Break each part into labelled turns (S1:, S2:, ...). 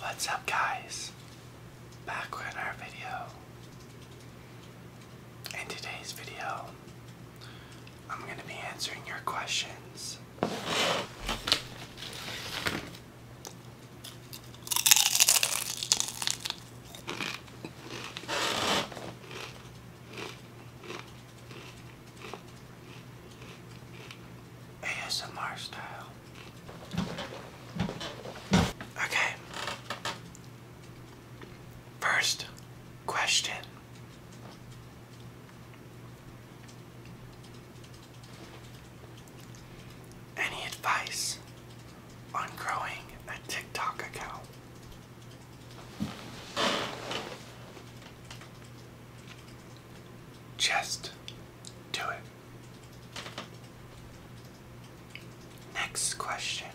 S1: What's up guys? Back with our video. In today's video, I'm going to be answering your questions. ASMR style. Okay. First question any advice on growing a TikTok account? Just do it. Next question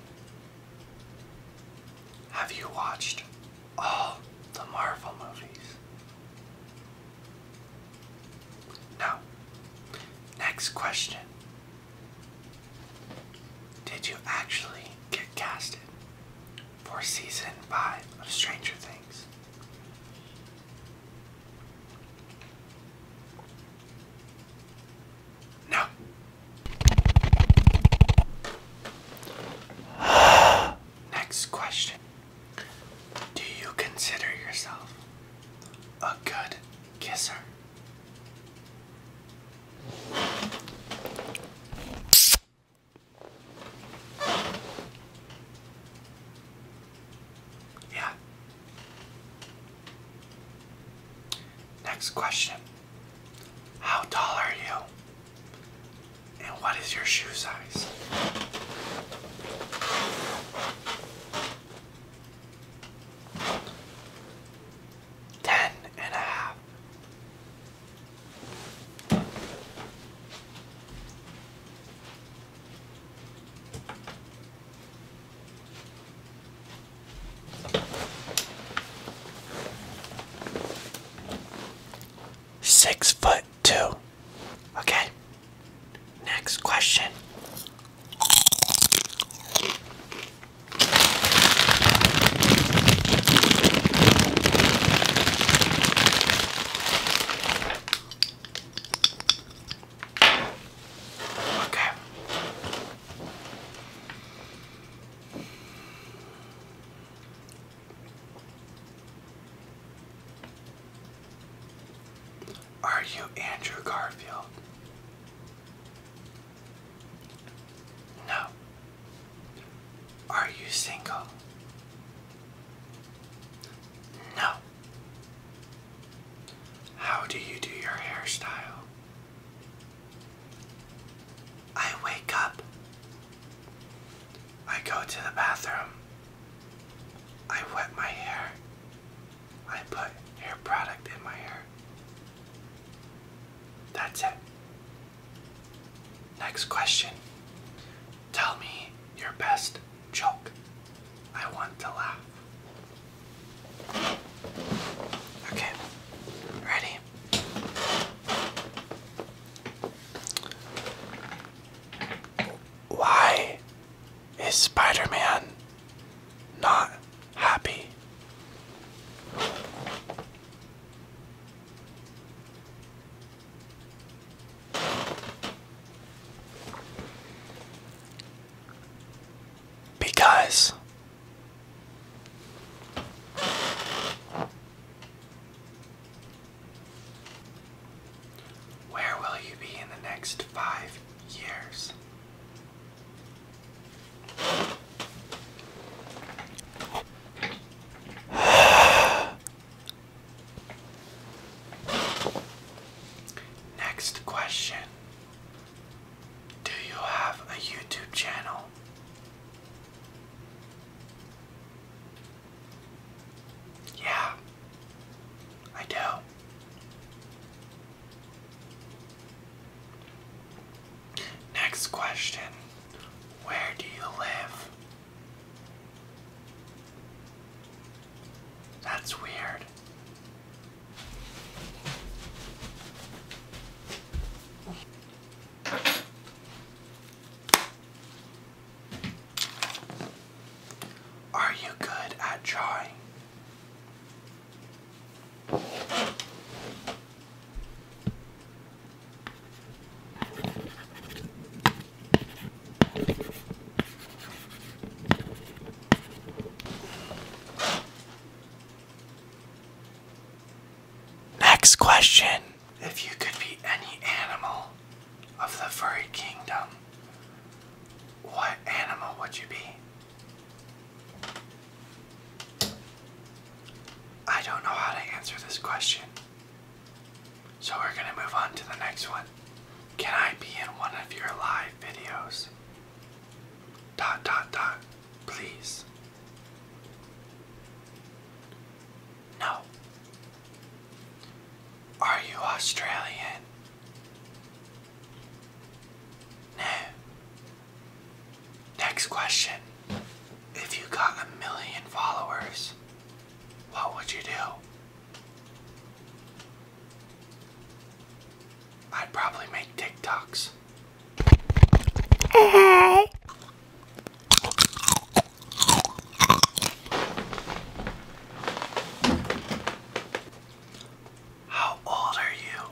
S1: Have you watched all the Marvel movies? Now, next question. Did you actually get casted for season 5 of Stranger Things? No. Next question. Do you consider yourself a good kisser? Yeah. Next question. How tall are you? And what is your shoe size? Ten and a half. Six foot two. Okay. Next question. Okay. Are you Andrew Garfield? No. Are you single? No. How do you do your hairstyle? I wake up I go to the bathroom. I wet my hair. I put hair product in my hair. That's it. Next question. Tell me your best joke. I want to laugh. Okay, ready? Why is Spider Man not happy? Because where will you be in the next five years? Next question Do you have a YouTube channel? Yeah, I do. Next question Where do you live? That's weird. Are you good at drawing? Next question. If you could be any animal of the furry kingdom, what animal would you be? I don't know how to answer this question. So we're going to move on to the next one. Can I be in one of your live videos? Dot dot dot. Please. No. Are you Australian? No. Next question. If you got a million followers, what would you do? I'd probably make TikToks. Hey. How old are you?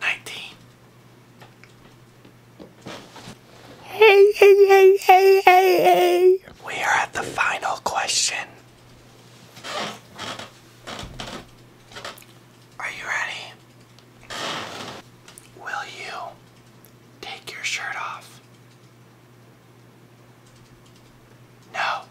S1: 19. Hey, hey, hey, hey, hey, hey. We are at the final question. Are you ready? Will you take your shirt off? No.